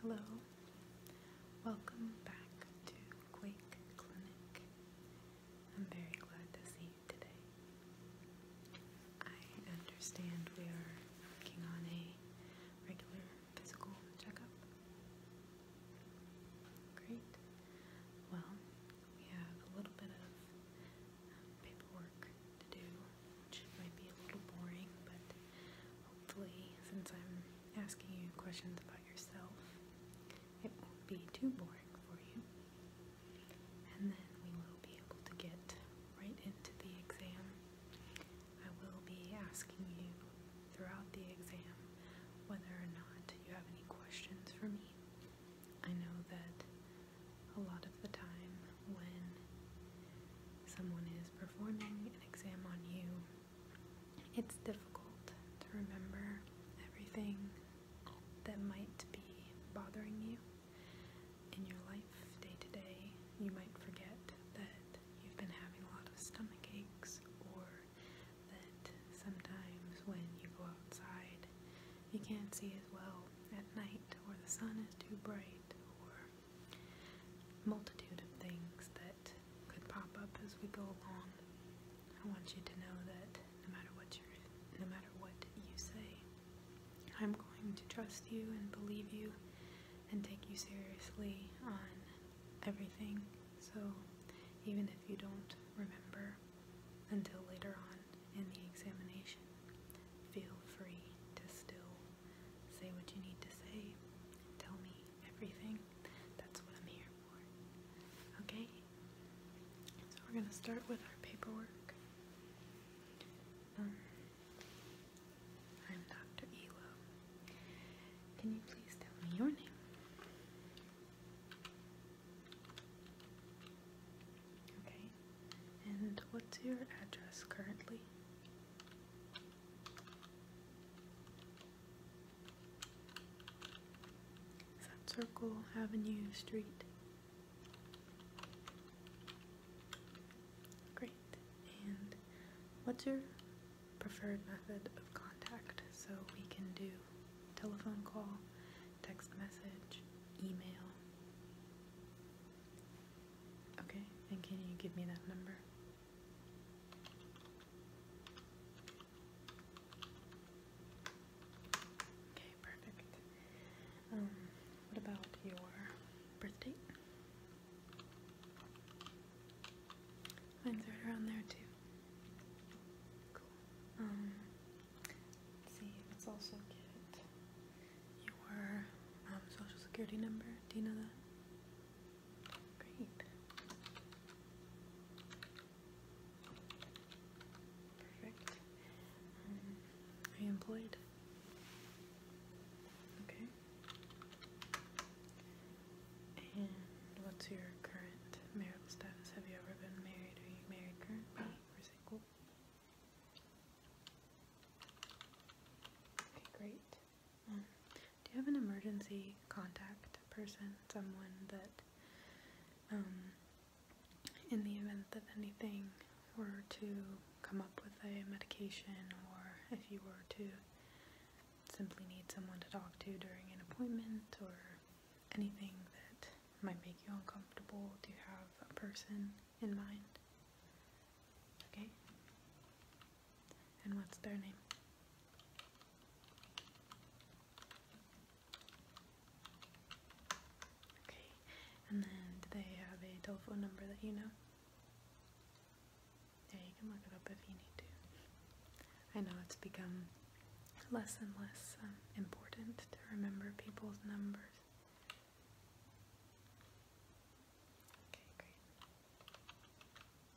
Hello, welcome back to Quake Clinic. I'm very glad to see you today. I understand we are working on a regular physical checkup. Great. Well, we have a little bit of um, paperwork to do which might be a little boring, but hopefully, since I'm asking you questions about yourself, it won't be too boring for you. And then we will be able to get right into the exam. I will be asking you throughout the exam whether or not you have any questions for me. I know that a lot of the time when someone is performing an exam on you, it's difficult to remember everything that might be bothering you in your life day to day. You might forget that you've been having a lot of stomach aches, or that sometimes when you go outside, you can't see as well at night, or the sun is too bright, or multitude of things that could pop up as we go along. I want you to know that no matter what you no matter what you say, I'm going to trust you and believe you and take you seriously on everything. So even if you don't remember until later on in the examination, feel free to still Say what you need to say. Tell me everything. That's what I'm here for. Okay? So we're going to start with our paperwork. Um, I'm Dr. Elo. Can you please tell me your name? Okay. And what's your address currently? Is that Circle Avenue Street? Great. And what's your preferred method of contact? So we can do telephone call, text message, email. Okay, and can you give me that number? Okay, perfect. Um, what about your birthday? Mine's right around there too. Cool. Um, let's see, let also get your um, social security number. Do you know that? Great. Perfect. Um, employed? Okay. And what's your current marital status? Have you ever been married? Are you married currently single? Okay, great. Mm. Do you have an emergency contact person, someone that, um, in the event that anything were to come up with a medication or if you were to simply need someone to talk to during an appointment or anything that might make you uncomfortable, do you have a person in mind? Okay. And what's their name? Okay. And then they have a telephone number that you know? Yeah, you can look up if you need to. I know it's become less and less um, important to remember people's numbers. Okay, great.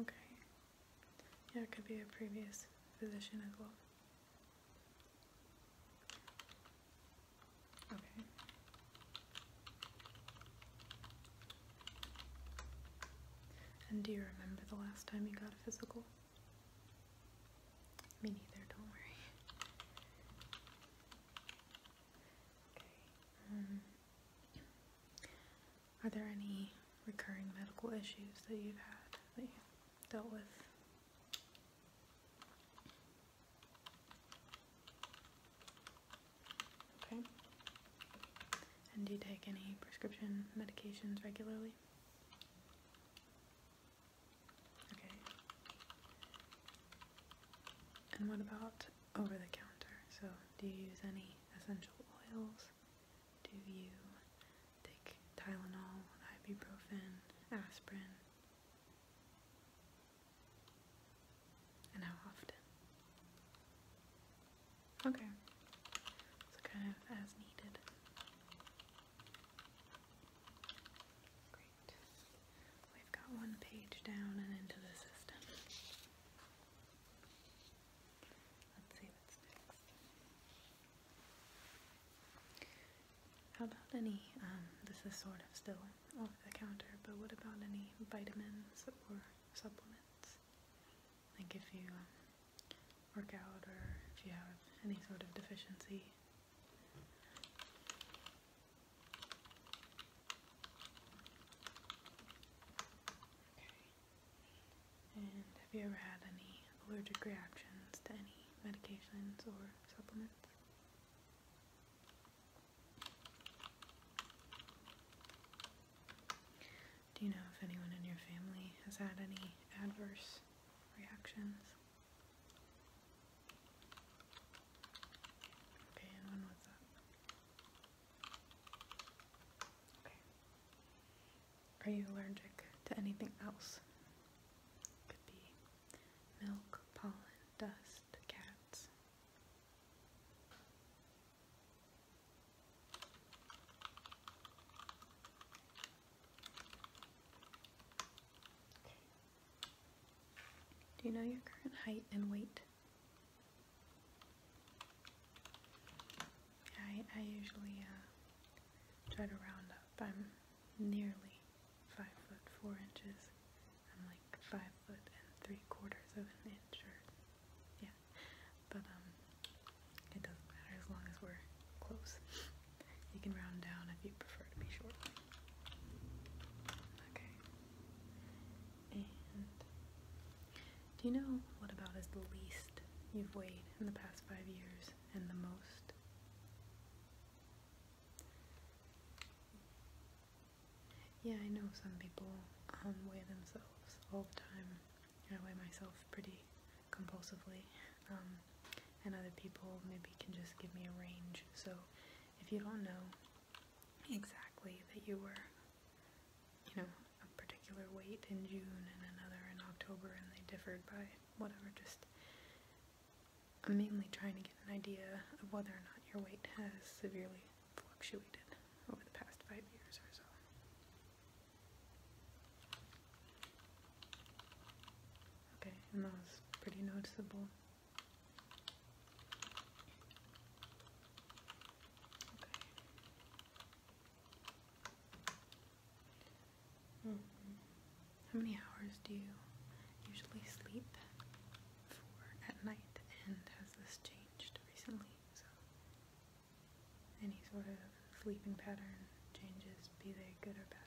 Okay. Yeah, it could be a previous physician as well. Okay. And do you remember the last time you got a physical? Me neither, don't worry. Okay. Um, are there any recurring medical issues that you've had that you dealt with? Okay. And do you take any prescription medications regularly? Okay. And what about over the counter. So, do you use any essential oils? Do you take Tylenol, ibuprofen, aspirin? And how often? Okay. So, kind of as needed. Great. We've got one page down and into the system. How about any, um, this is sort of still off the counter, but what about any vitamins or supplements? Like if you um, work out or if you have any sort of deficiency have you ever had any allergic reactions to any medications or supplements? Do you know if anyone in your family has had any adverse reactions? Okay, and are you allergic to anything else? Could be milk, pollen, dust, cats. Do you know your current height and weight? I, I usually uh, try to round up. I'm nearly five foot four inches. I'm like five foot and three quarters of an inch, or yeah. But um, it doesn't matter as long as we're close. you can round down if you prefer to be short. Okay. Do you know what about is the least you've weighed in the past five years and the most? Yeah, I know some people um, weigh themselves all the time. I weigh myself pretty compulsively. Um, and other people maybe can just give me a range. So if you don't know exactly that you were you know, a particular weight in June and another in October and they differed by whatever, just mainly trying to get an idea of whether or not your weight has severely fluctuated over the past five years or so. Okay, and that was pretty noticeable. How many hours do you usually sleep at night? And has this changed recently? any sort of sleeping pattern changes, be they good or bad?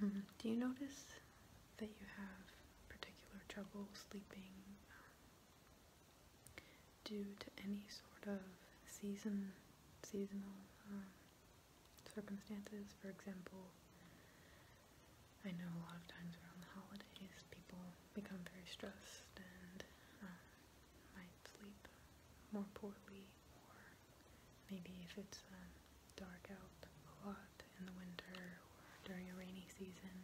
Um, do you notice that you have particular trouble sleeping um, due to any sort of season, seasonal um, circumstances. For example, I know a lot of times around the holidays people become very stressed and um, might sleep more poorly, or maybe if it's um, dark out a lot in the winter or during a rainy season,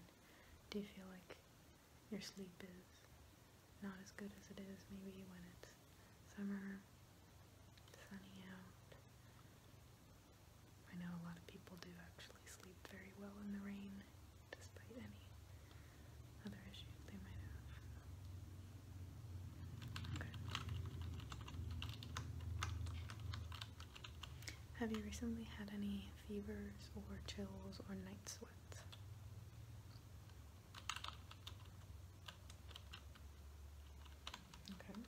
do you feel like your sleep is not as good as it is maybe when it's summer, sunny out. I know a lot of people do actually sleep very well in the rain, despite any other issues they might have. Have you recently had any fevers or chills or night sweats? Okay.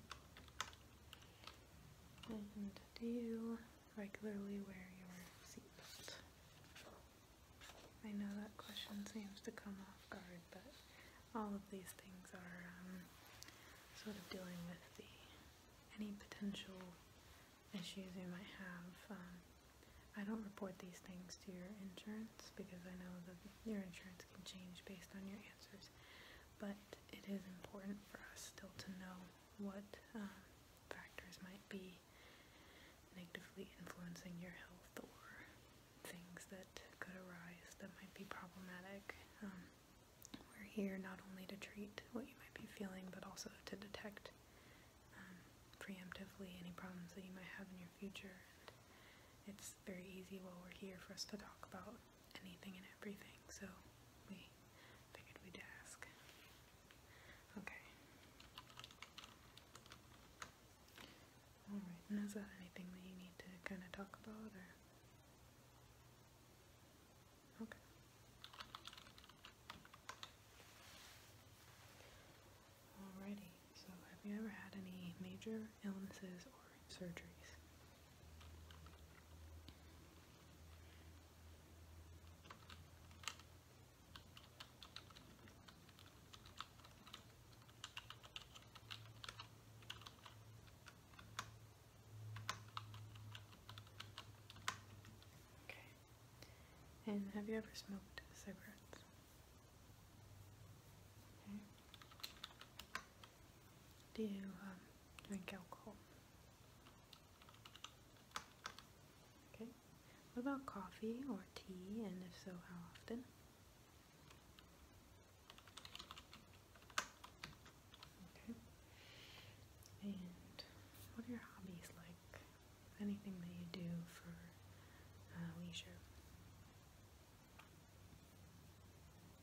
And do you regularly wear your seatbelt? I know that question seems to come off guard, but all of these things are um, sort of dealing with the any potential issues you might have. Um, I don't report these things to your insurance because I know that your insurance can change based on your answers but it is important for us still to know what um, factors might be negatively influencing your health or things that could arise that might be problematic. Um, we're here not only to treat what you might be feeling, but also to detect um, preemptively any problems that you might have in your future. it's very easy while we're here for us to talk about anything and everything, so we figured we'd ask. Okay. Alright, is that anything that you need to kind of talk about, Okay. Alrighty, so have you ever had any major illnesses or surgeries. Okay. And have you ever smoked cigarettes? do you um, drink alcohol. Okay, what about coffee or tea, and if so, how often? Okay, and what are your hobbies like? Anything that you do for uh, leisure?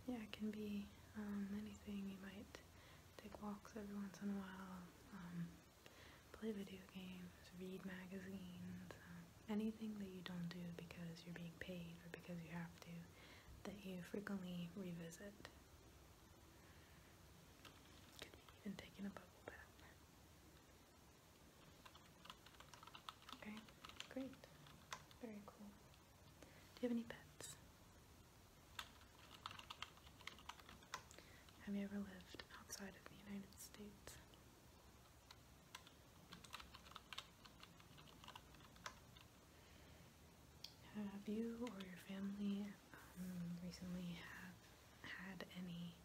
yeah, it can be um, anything. You might take walks every once in a while, um, play video games, read magazines, um, anything that you don't do because you're being paid or because you have to, that you frequently revisit. Could taking a bubble bath. Okay, great. Very cool. Do you have any pets? Have you ever lived outside of the United States? Have you or your family um, recently had any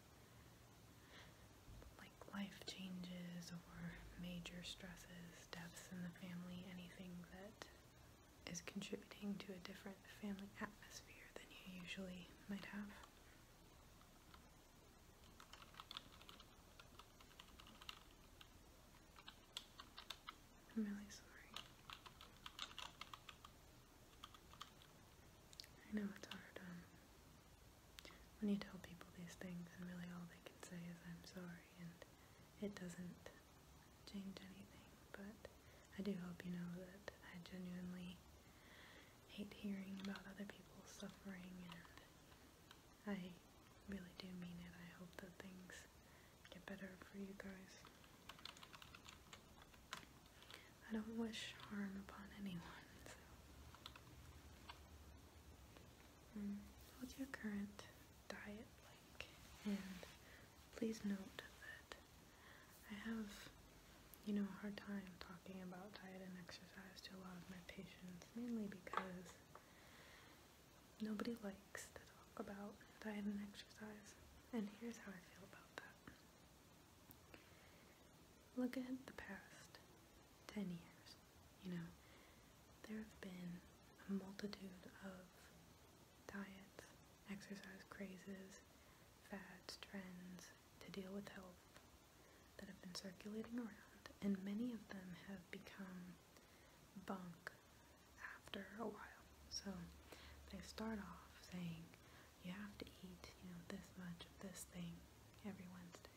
like life changes or major stresses siblings, deaths in the family, anything that is contributing to a different family atmosphere than you usually might have. I'm really sorry. I know it's hard um, when you tell people these things and really all they can say is I'm sorry and it doesn't change anything, but I do hope you know that I genuinely hate hearing about other people's suffering and I really do mean it. I hope that things get better for you guys. I don't wish harm upon anyone, hmm, What's your current diet like. And please note that I have, you know, a hard time talking about diet and exercise to a lot of my patients, mainly because nobody likes to talk about diet and exercise. And here's how I feel about that. Look at the past 10 years. You know, there have been a multitude of diets, exercise crazes, fads, trends to deal with health that have been circulating around, and many of them have become bunk after a while. So they start off saying, you have to eat, you know, this much of this thing every Wednesday.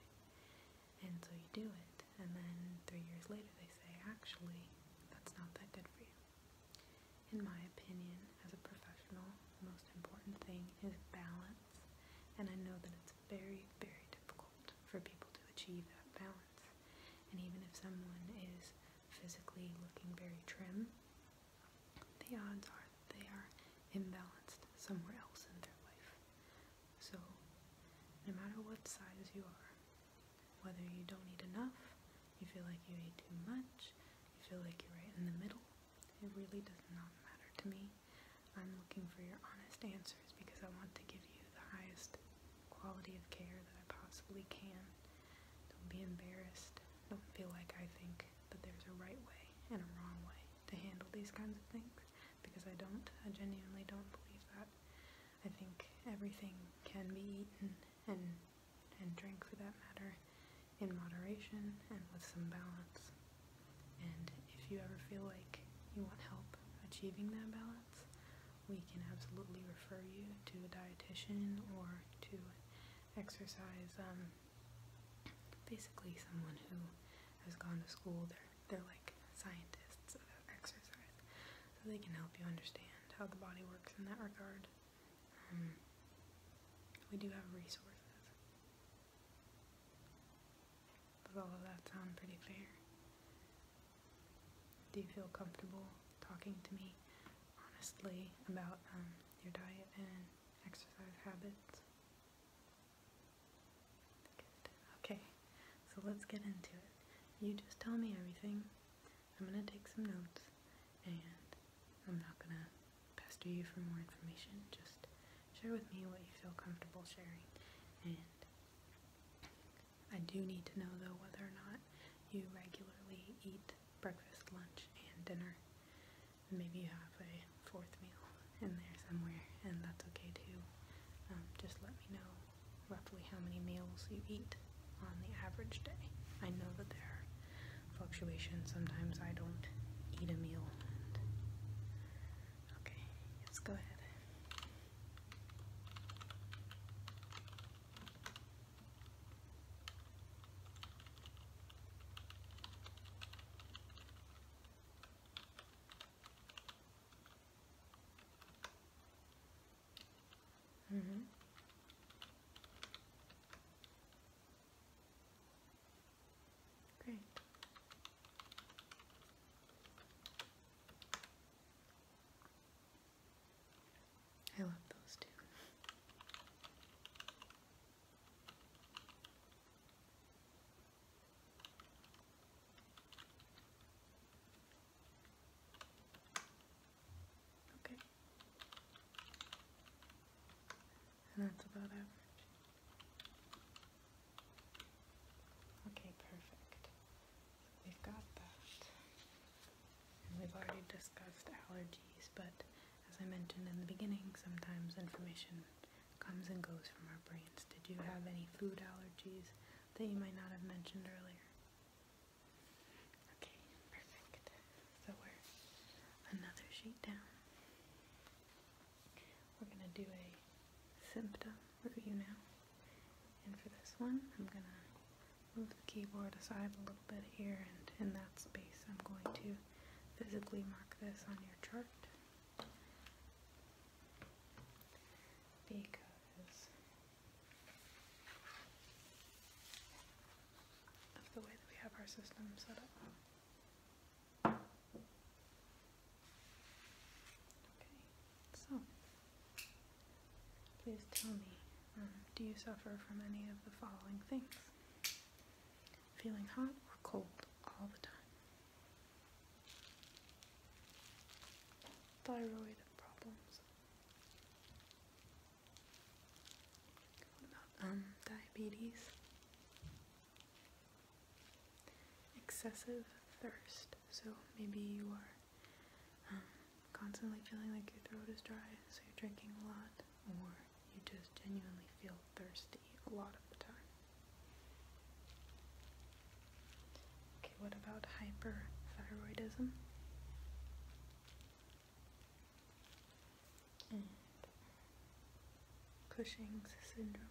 And so you do it, and then three years later they say, actually, that's not that good for you. In my opinion, as a professional, the most important thing is balance, and I know that it's very, very difficult for people to achieve that balance. And even if someone is physically looking very trim, the odds are that they are imbalanced somewhere else in their life. So, no matter what size you are, whether you don't eat enough, you feel like you ate too much, you feel like you're right in the middle, it really does not matter to me. I'm looking for your honest answers because I want to give you the highest quality of care that I possibly can. Don't be embarrassed. Don't feel like I think that there's a right way and a wrong way to handle these kinds of things because I don't. I genuinely don't believe that. I think everything can be eaten and and drink for that matter in moderation and with some balance. And if you ever feel like you want help achieving that balance, we can absolutely refer you to a dietitian or to exercise, um, basically someone who has gone to school, there. They're like scientists of exercise, so they can help you understand how the body works in that regard. Um, we do have resources. Does all of that sound pretty fair? Do you feel comfortable talking to me honestly about um, your diet and exercise habits? Okay. So let's get into it. You just tell me everything. I'm gonna take some notes and I'm not gonna pester you for more information. Just share with me what you feel comfortable sharing. And I do need to know though whether or not you regularly eat breakfast, lunch, and dinner. Maybe you have a fourth meal in there somewhere, and that's okay too. Um, just let me know roughly how many meals you eat on the average day. I know that there are fluctuations. Sometimes I don't eat a meal. Okay, let's go ahead. Mm -hmm. Great. I love those two. Okay. And that's about average. Okay, perfect. we've got that. And we've already discussed allergies, but as I mentioned in the beginning, sometimes information comes and goes from our brains. Did you have any food allergies that you might not have mentioned earlier? Okay, perfect. So we're another sheet down. We're going to do a symptom review now. And for this one, I'm going to move the keyboard aside a little bit here, and in that space, I'm going to physically mark this on your chart. Because the way that we have our system set up. Okay, so please tell me, um, do you suffer from any of the following things? Feeling hot or cold all the time? Thyroid problems what about um, diabetes? Excessive thirst. So maybe you are um, constantly feeling like your throat is dry, so you're drinking a lot, or you just genuinely feel thirsty a lot of the time. Okay, what about hyperthyroidism? Cushing's syndrome.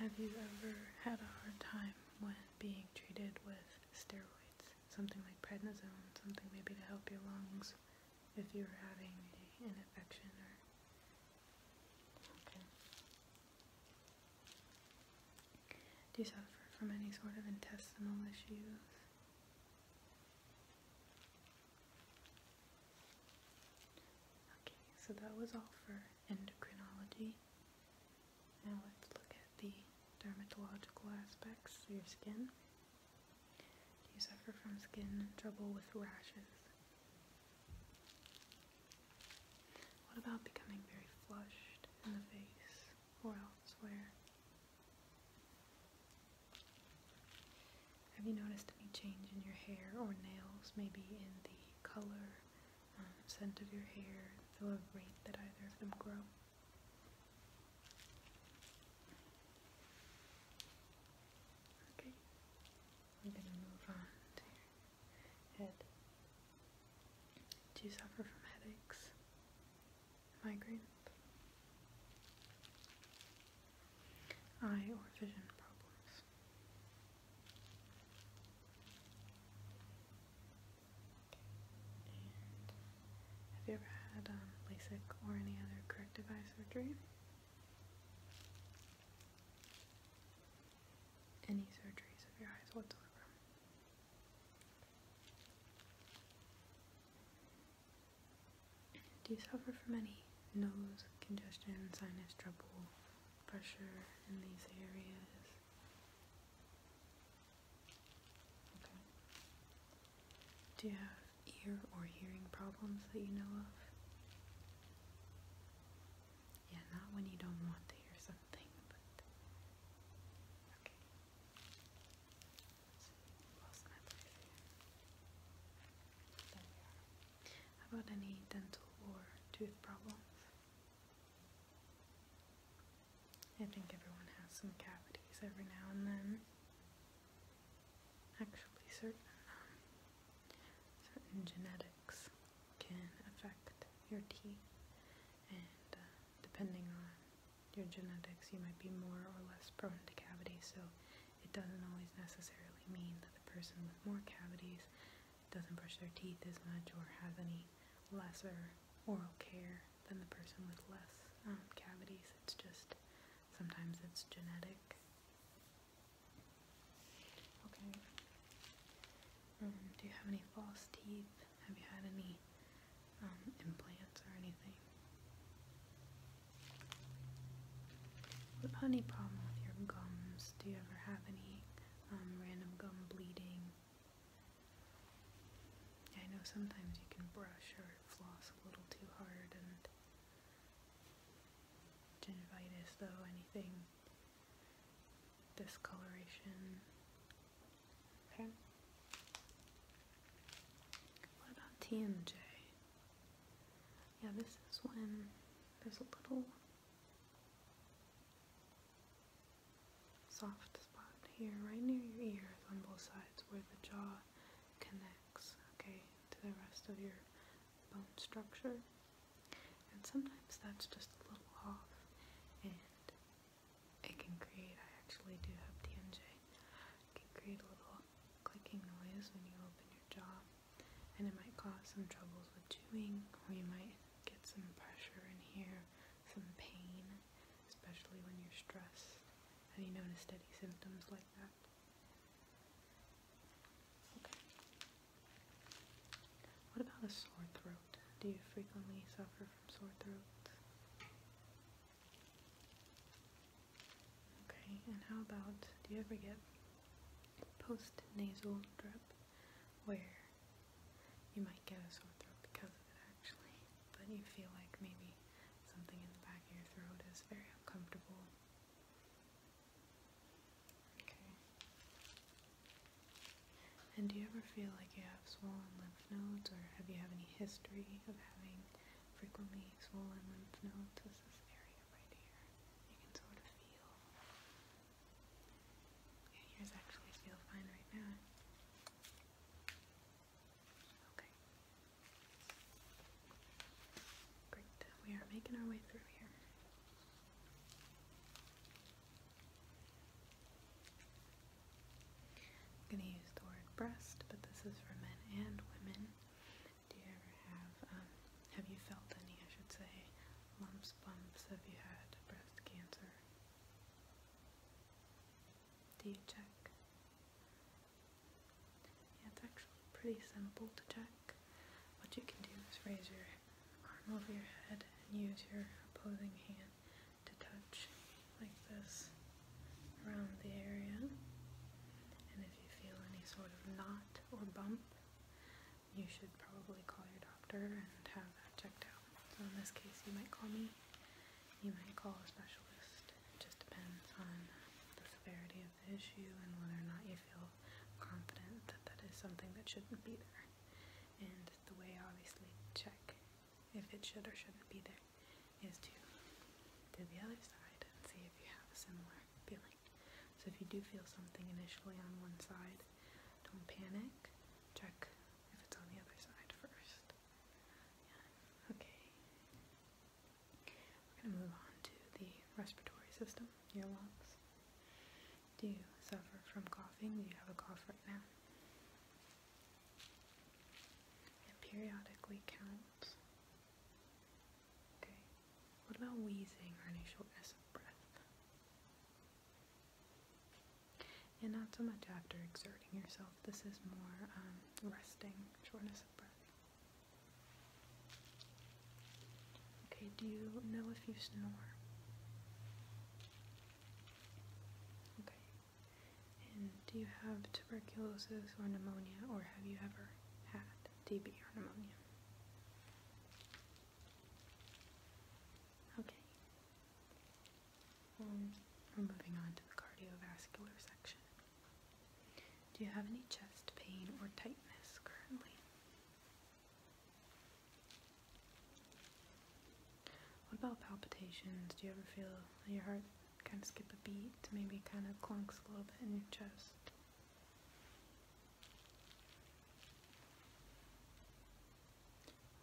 Have you ever had a hard time when being treated with steroids? Something like prednisone, something maybe to help your lungs if you're having an infection or. Okay. Do you suffer from any sort of intestinal issues? Okay, so that was all for endocrinology. Now let's look at the dermatological aspects of your skin. Do you suffer from skin trouble with rashes? What about becoming very flushed in the face or elsewhere? Have you noticed any change in your hair or nails, maybe in the color, um, scent of your hair, the rate that either of them grow? Okay, I'm going to move on Head. Do you suffer from headaches? Migraines? Eye or vision problems? have you ever had um, LASIK or any other corrective eye surgery? any surgeries of your eyes whatsoever. Do you suffer from any nose congestion, sinus trouble, pressure in these areas? Okay. Do you have ear or hearing problems that you know of? Yeah, not when you don't want to hear something, but okay. Let's see, lost my place here. There we are. How about any dental or tooth problems? I think everyone has some cavities every now and then. Actually, certain um, certain genetic can affect your teeth, and uh, depending on your genetics, you might be more or less prone to cavities. So it doesn't always necessarily mean that the person with more cavities doesn't brush their teeth as much or has any lesser oral care than the person with less um, cavities. It's just sometimes it's genetic. Um, do you have any false teeth? Have you had any um, implants or anything? What about any problem with your gums? Do you ever have any um, random gum bleeding? I know sometimes you can brush or floss a little too hard and gingivitis though, anything discoloration. Okay. What about TMJ? Yeah, this is when there's a little soft spot here, right near your ears on both sides, where the jaw connects, okay, to the rest of your bone structure. And sometimes that's just a little off, and it can create, I actually do have TNJ, it can create a little clicking noise when you open your jaw, and it might cause some troubles with chewing, or you might get some pressure in here, some pain, especially when you're stressed. Have you noticed any symptoms like that? What about a sore throat? Do you frequently suffer from sore throats? Okay, and how about do you ever get postnasal drip where you might get a sore throat because of it actually, but you feel like maybe something in the back of your throat is very uncomfortable? Okay. And do you ever feel like you have swollen lymph nodes or have you have any history of having frequently swollen lymph nodes? This this area right here. You can sort of feel. Yeah, yours actually feel fine right now. Okay. Great. We are making our way through here. I'm going to use the word breast, but this is for men and women. Do you ever have, um, have you felt any, I should say, lumps, bumps? Have you had breast cancer? Do you check? it's actually pretty simple to check. What you can do is raise your arm over your head and use your opposing hand to touch like this around the area. And if you feel any sort of knot or bump, you should probably call your doctor and have that checked out. So in this case, you might call me, you might call a specialist. It just depends on the severity of the issue and whether or not you feel confident that that is something that shouldn't be there. And the way, obviously, check if it should or shouldn't be there is to do the other side and see if you have a similar feeling. So if you do feel something initially on one side, don't panic. Check if it's on the other side first. Okay. We're going to move on to the respiratory system, your lungs. Do you suffer from coughing? Do you have a cough right now? And periodically counts. Okay. What about wheezing or any shortness of breath? And not so much after exerting yourself. This is more um, resting, shortness of breath. Okay, do you know if you snore? Okay. do you have tuberculosis or pneumonia, or have you ever had TB or pneumonia? Okay. Um, we're moving on to the cardiovascular section. Do you have any chest pain or tightness currently? What about palpitations? Do you ever feel your heart kind of skip a beat? Maybe kind of clunks a little bit in your chest?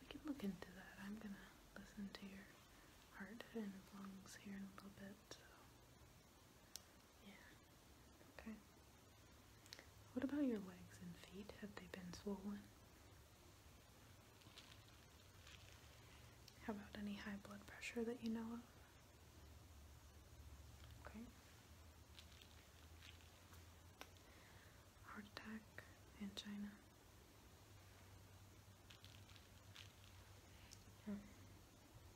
We can look into that. I'm going to listen to your heart and lungs here in a little bit. Yeah. Okay. What about your legs and feet? Have they been swollen? How about any high blood pressure that you know of? Okay. Heart attack, angina. Hmm.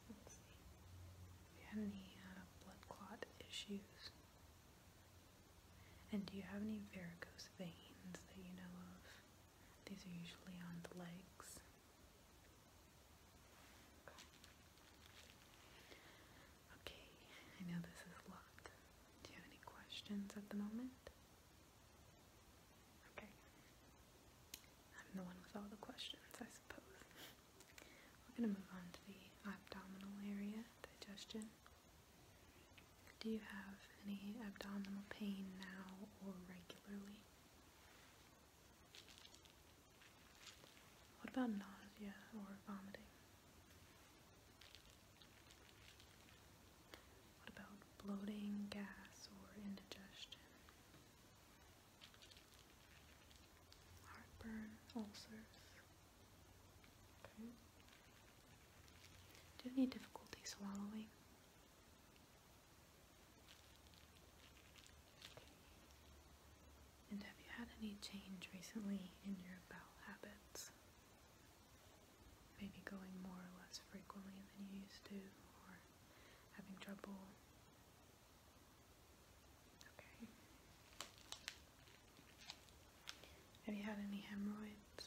Let's see. any uh, blood clot issues, and do you have any varicose veins that you know of? These are usually on the legs. Okay, I know this is a lot. Do you have any questions at the moment? Okay. I'm the one with all the questions, I suppose. We're going to move on to the abdominal area, digestion. Do you have any abdominal pain now or regularly? What about nausea or vomiting? What about bloating, gas, or indigestion? Heartburn, ulcers, do you have any difficulty swallowing? And have you had any change recently in your bowel habits? Maybe going more or less frequently than you used to, or having trouble? Have you had any hemorrhoids?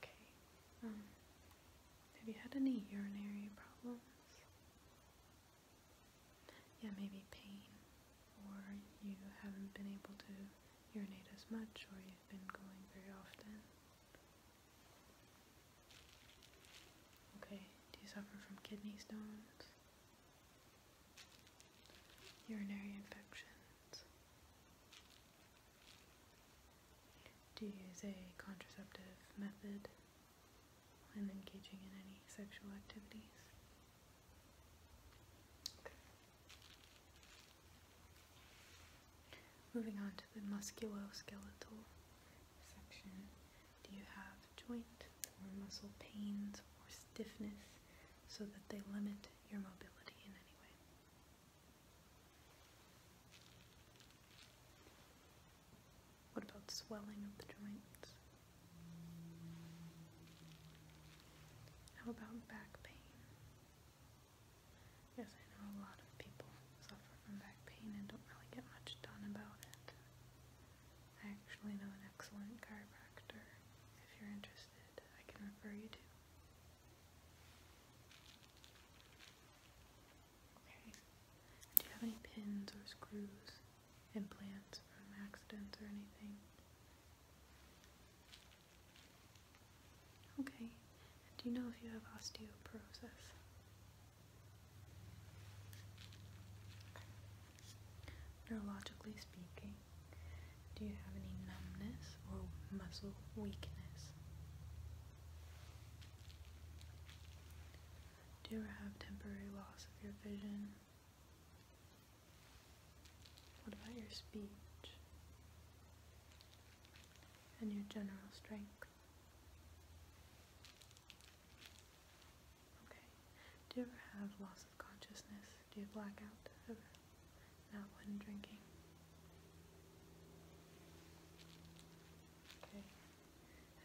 Okay. Um, have you had any urinary problems? Yeah, maybe pain, or you haven't been able to urinate as much, or you've been going very often. Okay, do you suffer from kidney stones? Urinary infections? Do you use a contraceptive method when engaging in any sexual activities? Moving on to the musculoskeletal section. Do you have joint or muscle pains or stiffness so that they limit your mobility in any way? What about swelling of the joints? How about back pain? Yes, I know a lot of people suffer from back pain and don't really get much done about it. I actually know an excellent chiropractor. If you're interested, I can refer you to. Okay. Do you have any pins or screws, implants from accidents or anything? Okay. do you know if you have osteoporosis? Neurologically speaking, do you have any numbness or muscle weakness? Do you have temporary loss of your vision? What about your speech and your general strength? Okay. Do you ever have loss of consciousness? Do you black out ever? Not when drinking? Okay.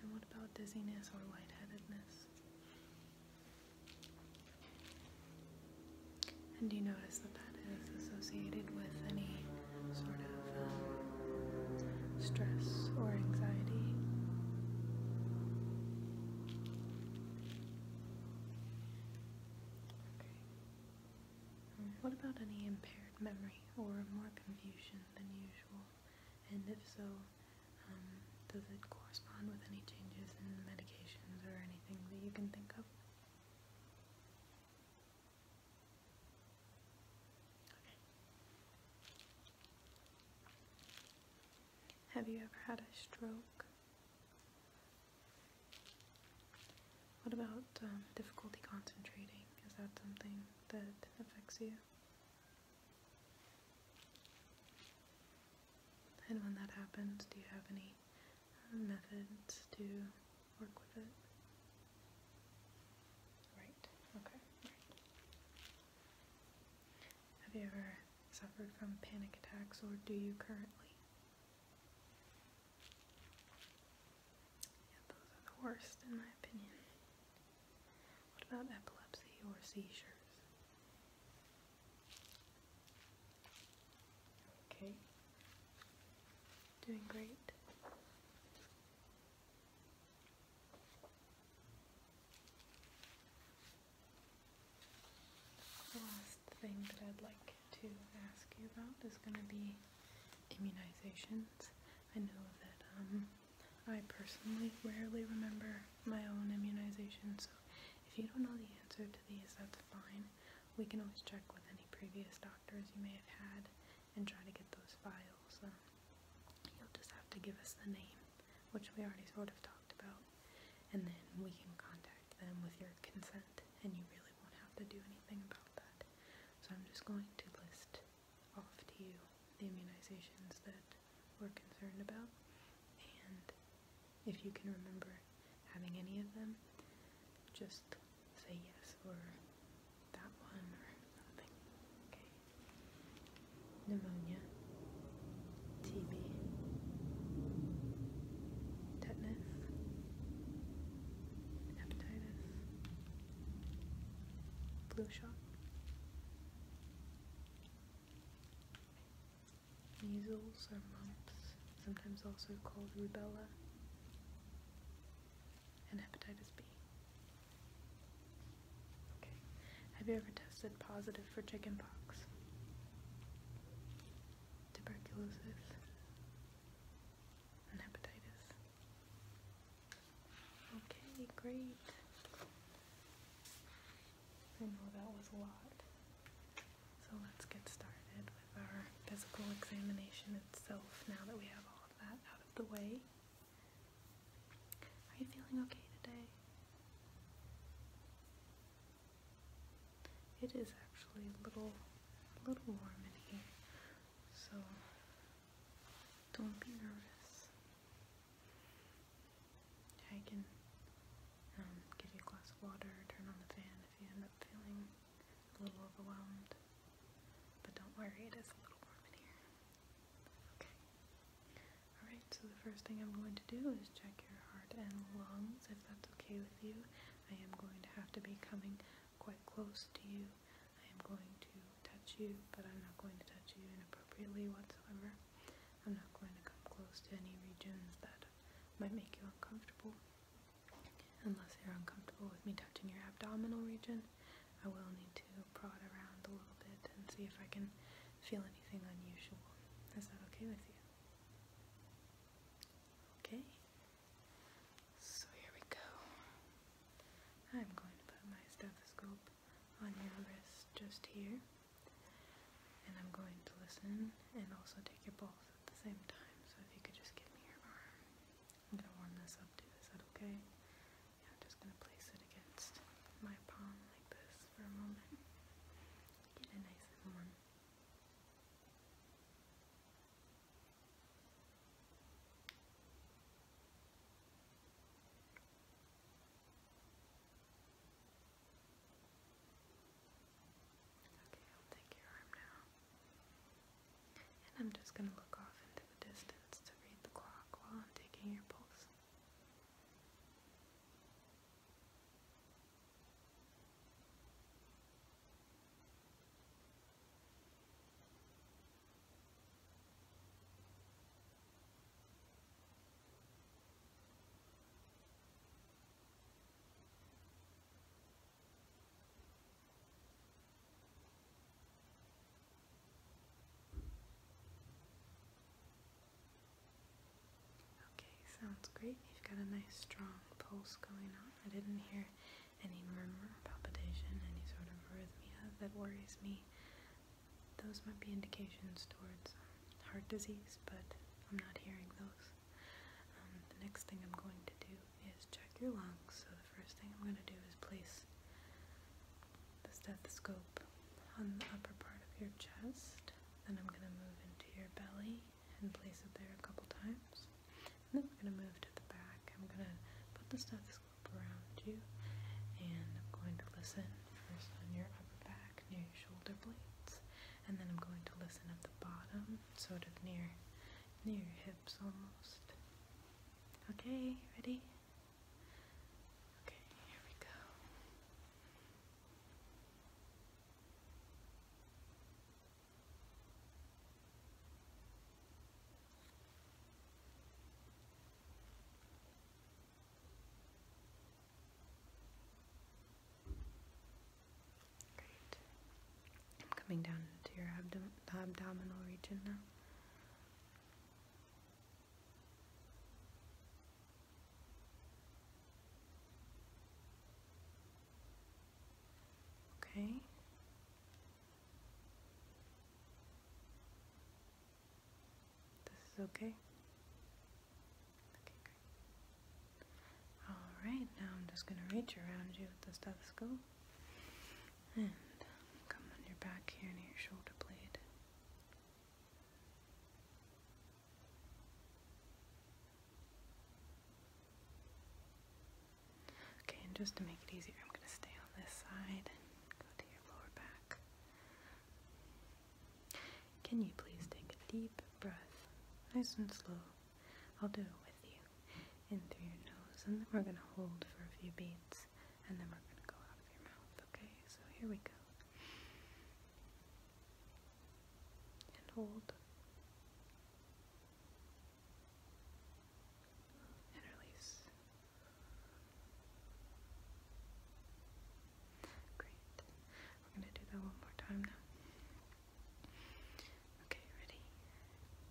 And what about dizziness or lightheadedness? And do you notice that is associated with any sort of um, stress or anxiety. Okay. Um, what about any impaired memory or more confusion than usual? And if so, um, does it correspond with any changes in medications or anything that you can think of? Have you ever had a stroke? What about um, difficulty concentrating? Is that something that affects you? And when that happens, do you have any um, methods to have you ever suffered from panic attacks or do you currently? Yeah, those are the worst in my opinion. What about epilepsy or seizures? Okay, doing great. The last thing that I'd like to ask you about is going to be immunizations. I know that um, I personally rarely remember my own immunizations, so if you don't know the answer to these, that's fine. We can always check with any previous doctors you may have had and try to get those files. you'll just have to give us the name, which we already sort of talked about, and then we can contact them with your consent, and you really won't have to do anything about that. So I'm just going to list off to you the immunizations that we're concerned about, and if you can remember having any of them, just say yes or that one or something. Okay. Pneumonia, TB, tetanus, hepatitis, flu shot, measles or mumps, sometimes also called rubella and hepatitis B. Okay. Have you ever tested positive for chickenpox? Tuberculosis and hepatitis. Okay, great. I know that was a lot. So let's get started with our physical examination itself now that we have all of that out of the way. Are you feeling okay today? It is actually a little, a little warm in here, so don't be nervous. I can um, give you a glass of water, turn on the fan if you end up feeling a little overwhelmed. But don't worry, it is a little warm in here. Okay. Alright, so the first thing I'm going to do is check your heart and lungs, if that's okay with you. I am going to have to be coming quite close to you. I am going to touch you, but I'm not going to touch you inappropriately whatsoever. I'm not going to come close to any regions that might make you uncomfortable. Unless you're uncomfortable with me touching your abdominal region, I will need to prod around a little bit and see if I can feel anything unusual. Is that okay with you? Okay. So here we go. I'm going to put my stethoscope on your wrist just here. And I'm going to listen and also take your pulse at the same time. So if you could just give me your arm. I'm going to warm this up too. Is that okay? I'm just going to place it against my palm like this for a moment. Get it nice and warm. Okay, I'll take your arm now. And I'm just going to look off into the distance to read the clock while I'm taking your pulse. Okay, sounds great. You've got a nice strong pulse going on. I didn't hear any murmur, palpitation, any sort of arrhythmia that worries me. Those might be indications towards um, heart disease, but I'm not hearing those. Um, the next thing I'm going to do is check your lungs. So the first thing I'm going to do is place the stethoscope on the upper part of your chest. Then I'm going to move into your belly and place it there a couple times. And then we're going to move to the back. I'm going to put the stethoscope around you and I'm going to listen first on your upper back near your shoulder blades. And then I'm going to listen at the bottom, sort of near near your hips almost. Okay, ready? Okay, here we go. Great. I'm coming down to your abdom abdominal region now. Okay. This is okay. Okay, great. All right, now I'm just going to reach around you with the stethoscope. And come on your back here near your shoulder blade. Okay, and just to make it easier, I'm going to stay on this side and go to your lower back. Can you please take a deep breath, nice and slow? I'll do it with you. In through your nose, and then we're going to hold for a few beats and then we're going to go out of your mouth, okay? So here we go. And hold. And release. Great. We're going to do that one more time now. Okay, ready?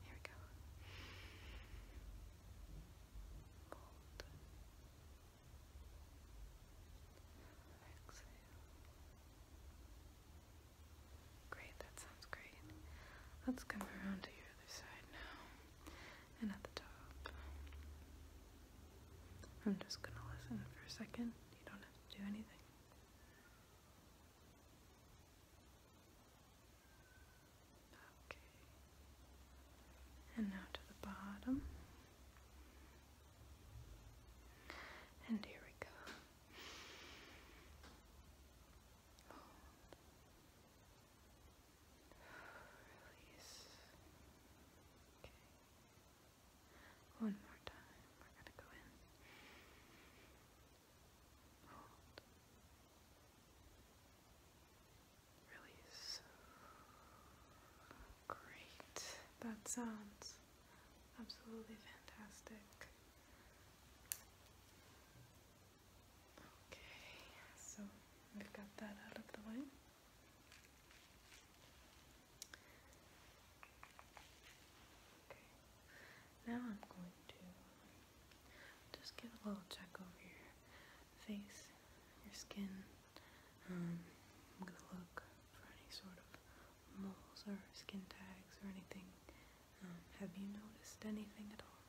Here we go. Exhale. Great, that sounds great. Let's come around to your other side now. And at the top. I'm just gonna listen for a second. You don't have to do anything. Okay. And now to the bottom. And here we go. Hold. Release. Okay. One more time. We're going to go in. Hold. Release. Great. That sounds absolutely fantastic. Okay, so we've got that out of the way. Okay, now I'm going to just get a little check over your face, your skin. Um, I'm gonna look for any sort of moles or skin tags or anything. Um, have you noticed anything at all?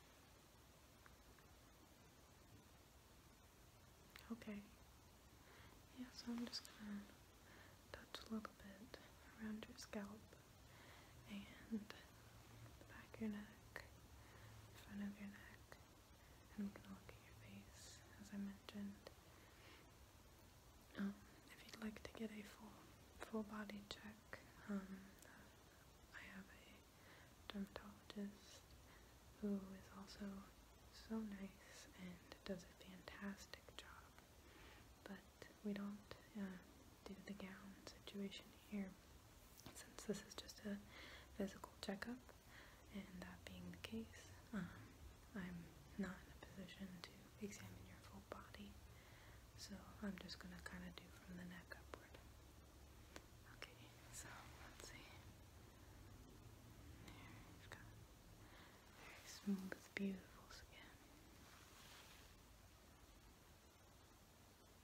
Okay. Yeah, so I'm just gonna touch a little bit around your scalp and the back of your neck, front of your neck, and we to look at your face, as I mentioned. Um, if you'd like to get a full full body check, um, I have a dermatologist who is also so nice and does a fantastic job. But we don't uh, do the gown situation here since this is just a physical checkup, and that being the case, um, I'm not in a position to examine your full body, so I'm just going to kind of do from the neck upward. Okay, so let's see. very smooth, beautiful skin.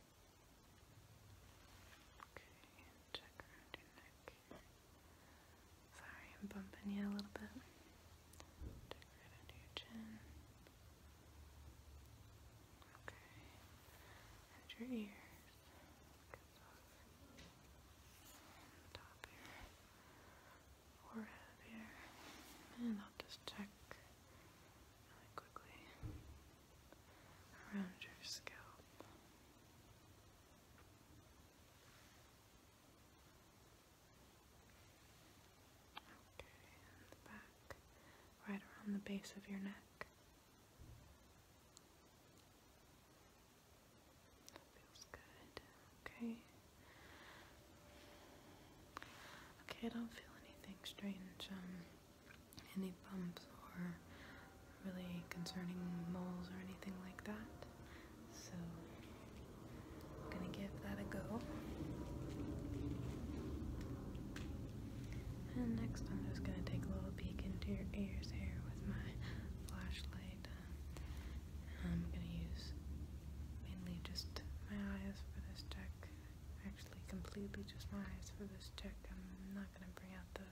Okay, and check around your neck Sorry, I'm bumping you a little bit. Check under your chin. Okay, and your ears. top here, forehead here, and I'll just check quickly around your scalp. Okay, and the back, right around the base of your neck. That feels good. Okay. Okay, I don't feel anything strange. Um, any bumps or really concerning moles or anything like that. So I'm gonna give that a go. And next I'm just gonna take a little peek into your ears here with my flashlight. I'm gonna use mainly just my eyes for this check. Actually completely just my eyes for this check. I'm not not going to bring out the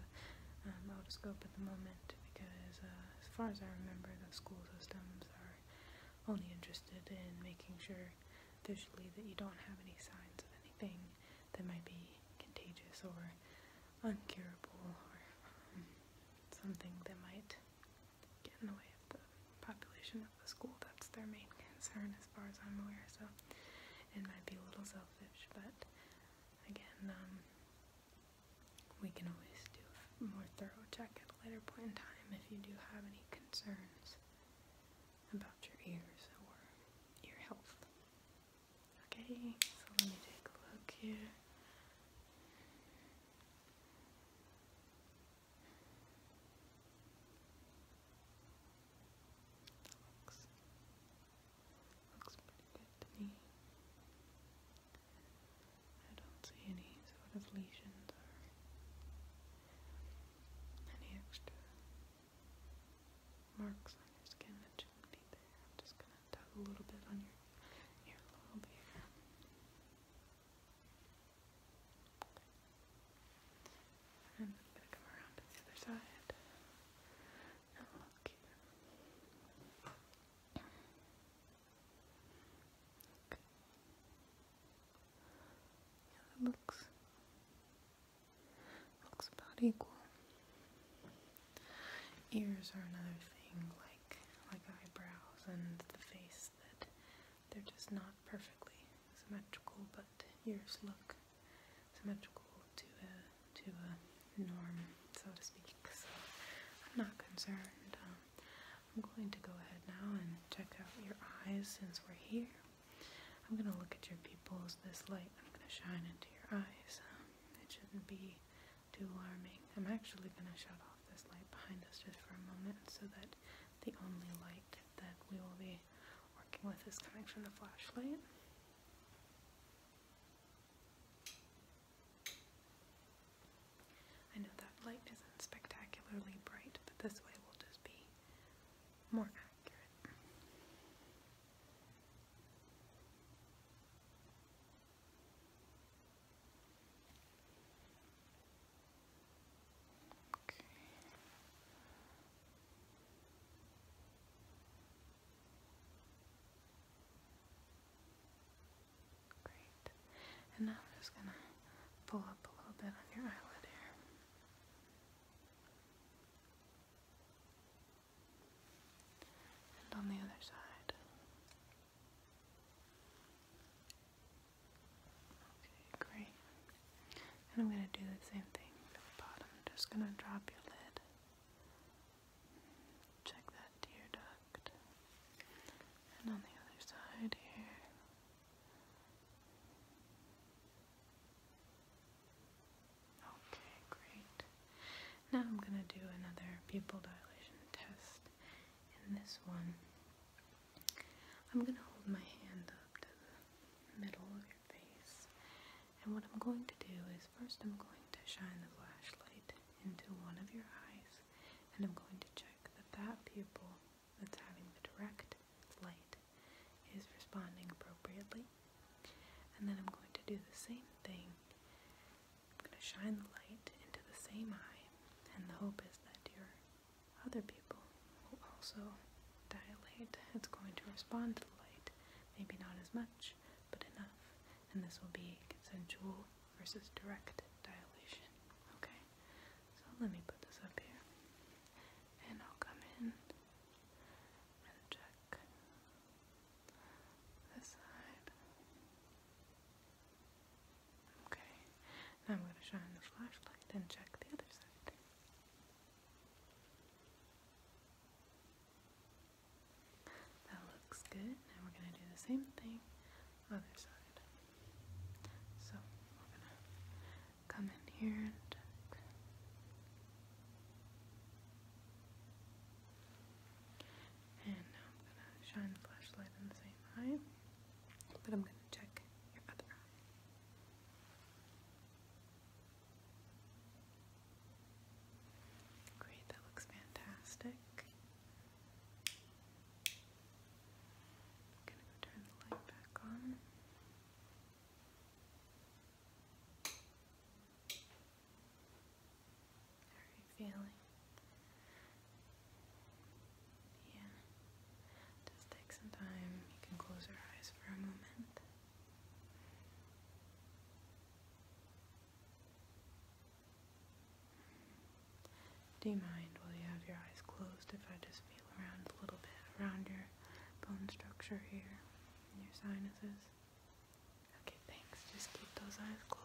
um, otoscope at the moment because uh, as far as I remember the school systems are only interested in making sure visually that you don't have any signs of anything that might be contagious or uncurable or um, something that might get in the way of the population of the school. That's their main concern as far as I'm aware so it might be a little selfish but again, um, we can always do a more thorough check at a later point in time if you do have any concerns about your ears or your health. Okay, so let me take a look here. Looks Looks pretty good to me. I don't see any sort of lesions or any extra marks on your skin that you be there. I'm just gonna tap a little bit on your earlobe here. Okay. And I'm gonna come around to the other side looks looks about equal. Ears are another thing, like like eyebrows and the face that they're just not perfectly symmetrical, but ears look symmetrical to a to a norm, so to speak. So I'm not concerned. Um, I'm going to go ahead now and check out your eyes since we're here. I'm gonna look at your pupils. This light I'm gonna shine into your eyes. Um, it shouldn't be too alarming. I'm actually gonna shut off this light behind us just for a moment so that the only light that we will be working with is coming from the flashlight. I know that light isn't spectacularly bright, but this way will just be more accurate. Okay. Great. And now I'm just going to pull up a little bit on your eyelid here. And on the other side. Okay, great. And I'm going to do the same thing at the bottom. I'm just going to drop your lid Check that tear duct. And on the other side here. Okay, great. Now I'm going to do another pupil dilation test. In this one, I'm going to hold my hand up to the middle of your face. And what I'm going to do is first I'm going to shine the flashlight into one of your eyes and I'm going to check that that pupil that's having the direct light is responding appropriately. And then I'm going to do the same thing. I'm going to shine the light into the same eye and the hope is that your other pupil will also dilate. It's going to respond to the light, maybe not as much, but enough. And this will be consensual versus direct dilation. Okay, so let me put this up here. And I'll come in and check this side. Okay, now I'm going to shine the flashlight and check the other side. That looks good. Now we're going to do the same thing other side. So we're going to come in here and tuck. And now I'm going to shine the flashlight in the same eye, but I'm going to check your other eye. Great, that looks fantastic. I'm gonna go turn the light back on. How are you feeling? Yeah. Just take some time. You can close your eyes for a moment. Do you mind while you have your eyes closed if I just feel around a little bit around your bone structure here and your sinuses? Okay, thanks. Just keep those eyes closed.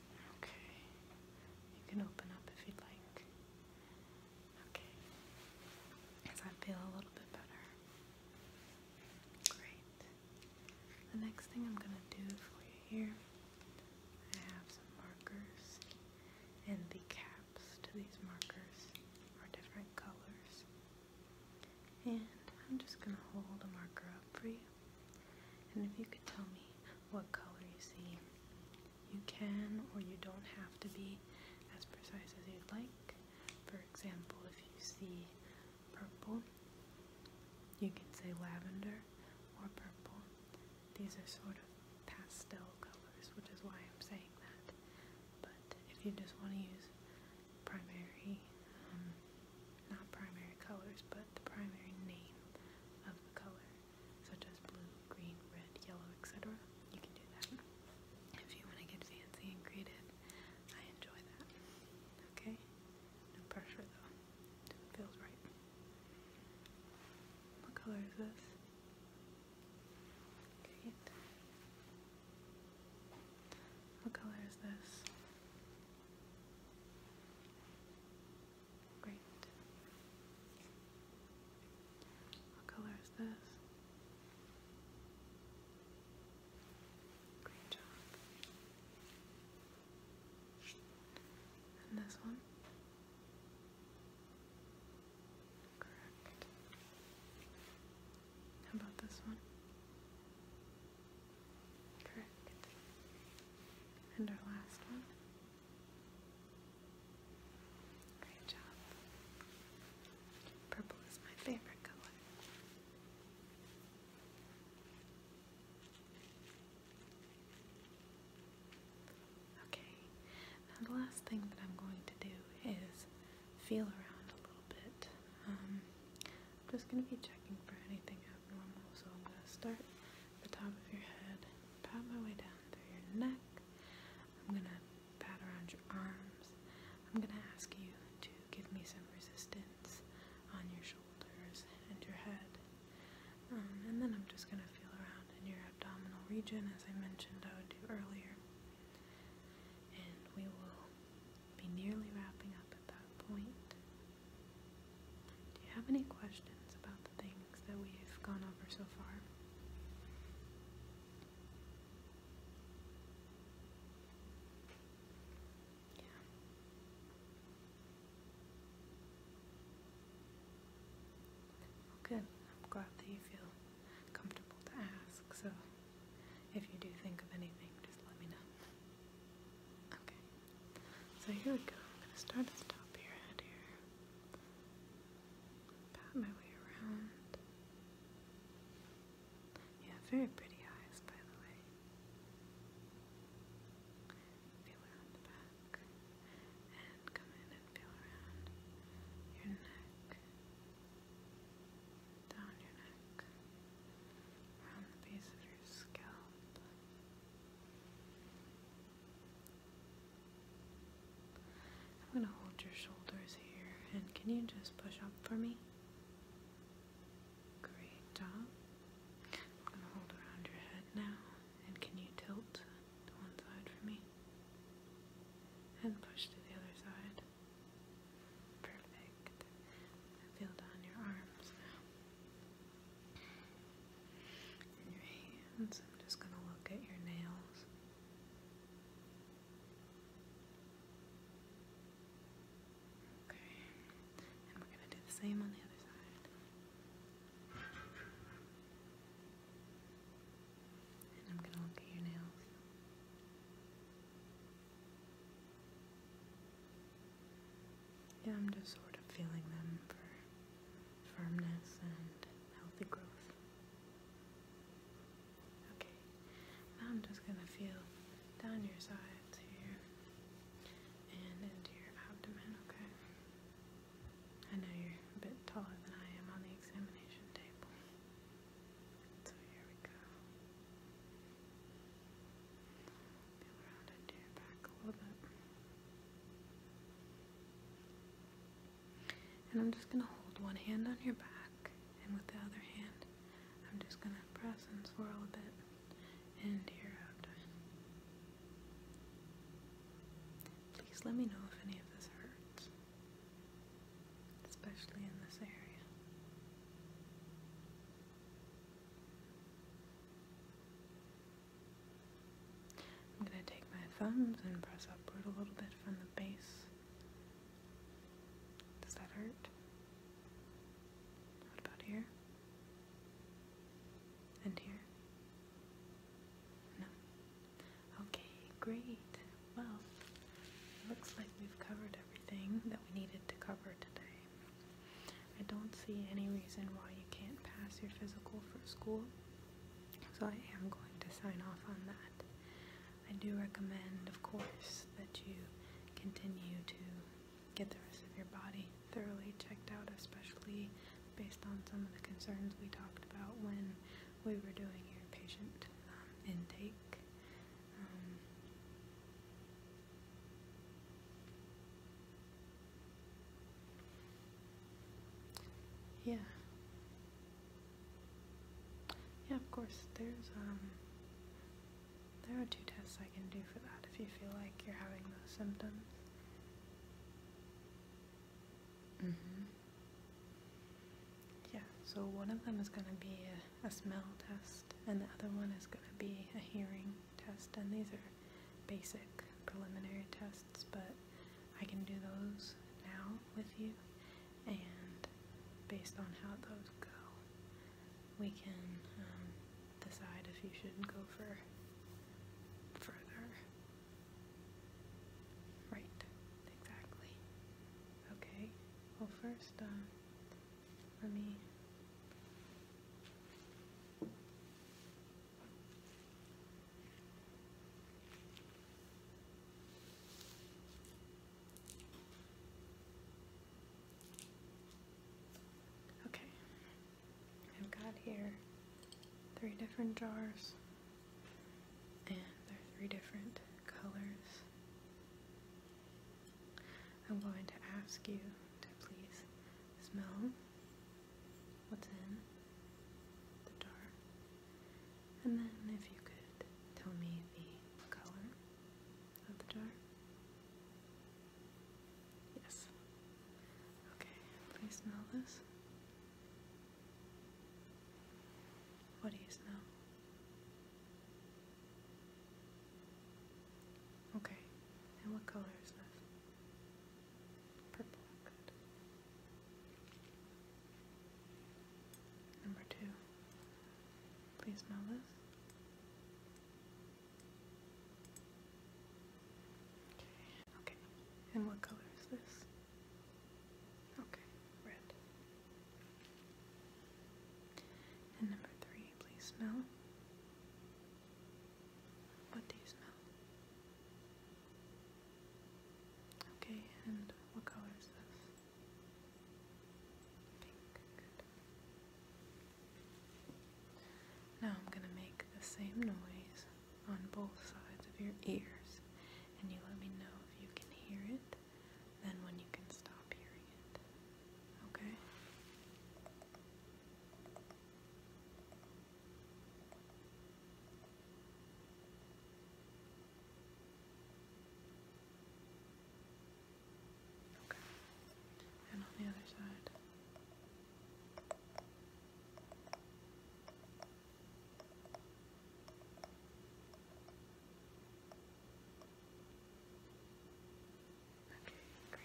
Okay. You can open up if you'd like. Okay. Does I feel a little bit better? Great. The next thing I'm going to do for you here, I have some markers, and the caps to these markers are different colors. And I'm just going to hold a marker up for you. And if you could tell me what color you see, you can or you don't have to be as precise as you'd like. For example, if you see purple, you can say lavender or purple. These are sort of pastel colors, which is why I'm saying that. But if you just want to use primary, um, not primary colors, but the primary name of the color, such as blue, green, red, yellow, etc. You can do that if you want to get fancy and creative. I enjoy that. Okay? No pressure though. feels right. What color is this? What color is this? Great. What color is this? Great And this one? Correct. How about this one? Correct. And our last one? Great job. Purple is my favorite color. Okay, now the last thing that I'm going to do is feel around a little bit. Um, I'm just going to be checking for anything abnormal, so I'm going to start at the top of your head pat my way down through your neck. I'm gonna pat around your arms. I'm gonna ask you to give me some resistance on your shoulders and your head. Um, and then I'm just gonna feel around in your abdominal region as I mentioned I would do earlier. And we will be nearly wrapping up at that point. Do you have any questions about the things that we've gone over so far? Yeah. good. I'm glad that you feel comfortable to ask, so if you do think of anything, just let me know. Okay. So here we go. I'm going to start at the top of your head here. Pat my way around. Yeah, very pretty eyes, by the way. Feel around the back and come in and feel around your neck, down your neck, around the base of your scalp. I'm going to hold your shoulders here, and can you just push up for me? Great job. I'm going to hold around your head now, and can you tilt to one side for me? And push to the other side. Perfect. feel down your arms your hands. I'm just going to look at your nails. Okay, and we're going to do the same on the other side. And I'm going to look at your nails. Yeah, I'm just sort of feeling them for firmness and healthy growth. Okay, now I'm just going to feel down your sides here and into your abdomen, okay? I know you're a bit taller than I am on the examination table. So here we go. Feel around into your back a little bit. And I'm just going to hold one hand on your back, and with the other hand, I'm just going to press and swirl a bit into your abdomen. Please let me know if any of this hurts, especially in this area. I'm going to take my thumbs and press upward a little bit from the base. Does that hurt? What about here? And here? No. Okay, great. Well, looks like we've covered everything that we needed to cover today. I don't see any reason why you can't pass your physical for school. So I am going to sign off on that. I do recommend, of course, that you continue to get the rest of your body thoroughly checked out, especially based on some of the concerns we talked about when we were doing your patient um, intake. Um, yeah. Yeah, of course. There's um there are two tests I can do for that if you feel like you're having those symptoms. hmm Yeah, so one of them is going to be a smell test, and the other one is going to be a hearing test, and these are basic preliminary tests, but I can do those now with you, and based on how those go, we can um, decide if you should go for further. Right, exactly. Okay, well, first, um, let me. Okay, I've got here three different jars, and they're three different colors. I'm going to ask you to please smell what's in the jar. And then if you could tell me the color of the jar. Yes. Okay, please smell this. What do you smell? Okay, and what color is this? Purple, good. Number two. Please smell this. Okay. Okay. And what color is this? Okay, red. And number three, please smell. What do you smell? Okay, and what color is this? Pink. Good. Now I'm going to make the same noise on both sides of your ears, and you let me know if you can hear it, then when you can stop hearing it. Okay? Okay. And on the other side. Okay, great.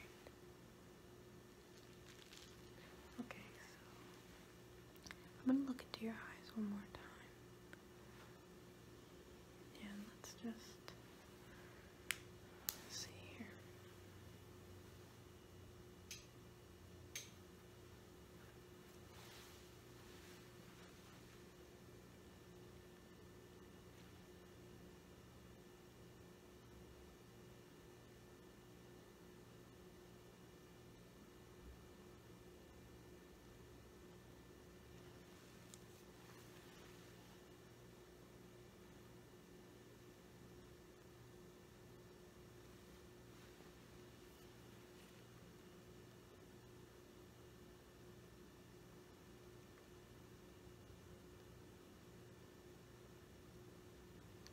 Okay, so I'm gonna look into your eyes one more time. And let's just see here.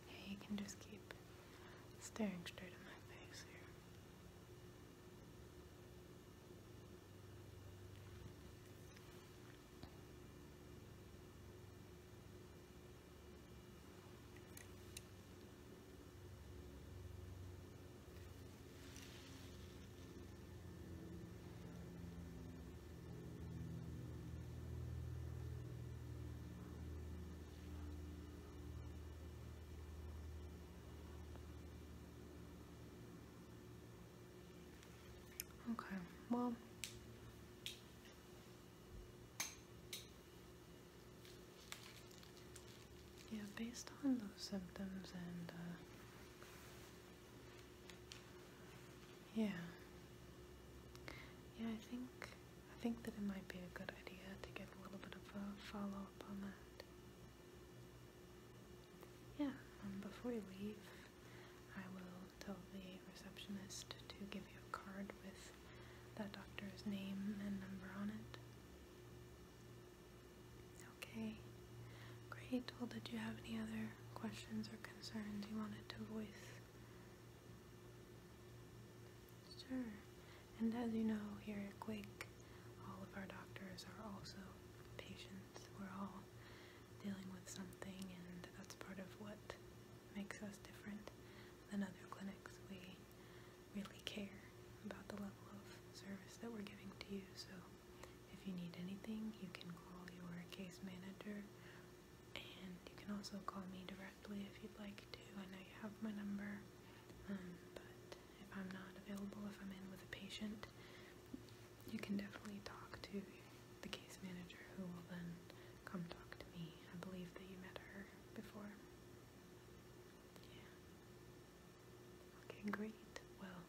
Yeah, you can just keep staring straight in my face here. Okay, well, yeah, based on those symptoms and, uh, yeah, yeah, I think I think that it might be a good idea to get a little bit of a follow-up on that. Yeah, um, before you leave, I will tell the receptionist to give you a card with that doctor's name and number on it. Okay, great. Well, did you have any other questions or concerns you wanted to voice? Sure. And as you know, here at Quake, all of our doctors are also patients. We're all dealing with something, and that's part of what makes us different than other clinics. We really care about the level of service that we're giving to you, so if you need anything, you can call your case manager, and you can also call me directly if you'd like to. I know you have my number, um, but if I'm not available, if I'm in with a patient, you can definitely talk to the case manager who will then come talk to me. I believe that you met her before. Yeah. Okay, great. Well,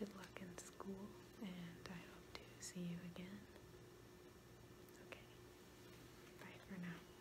good luck in school, and I hope to see you again. Okay. Bye for now.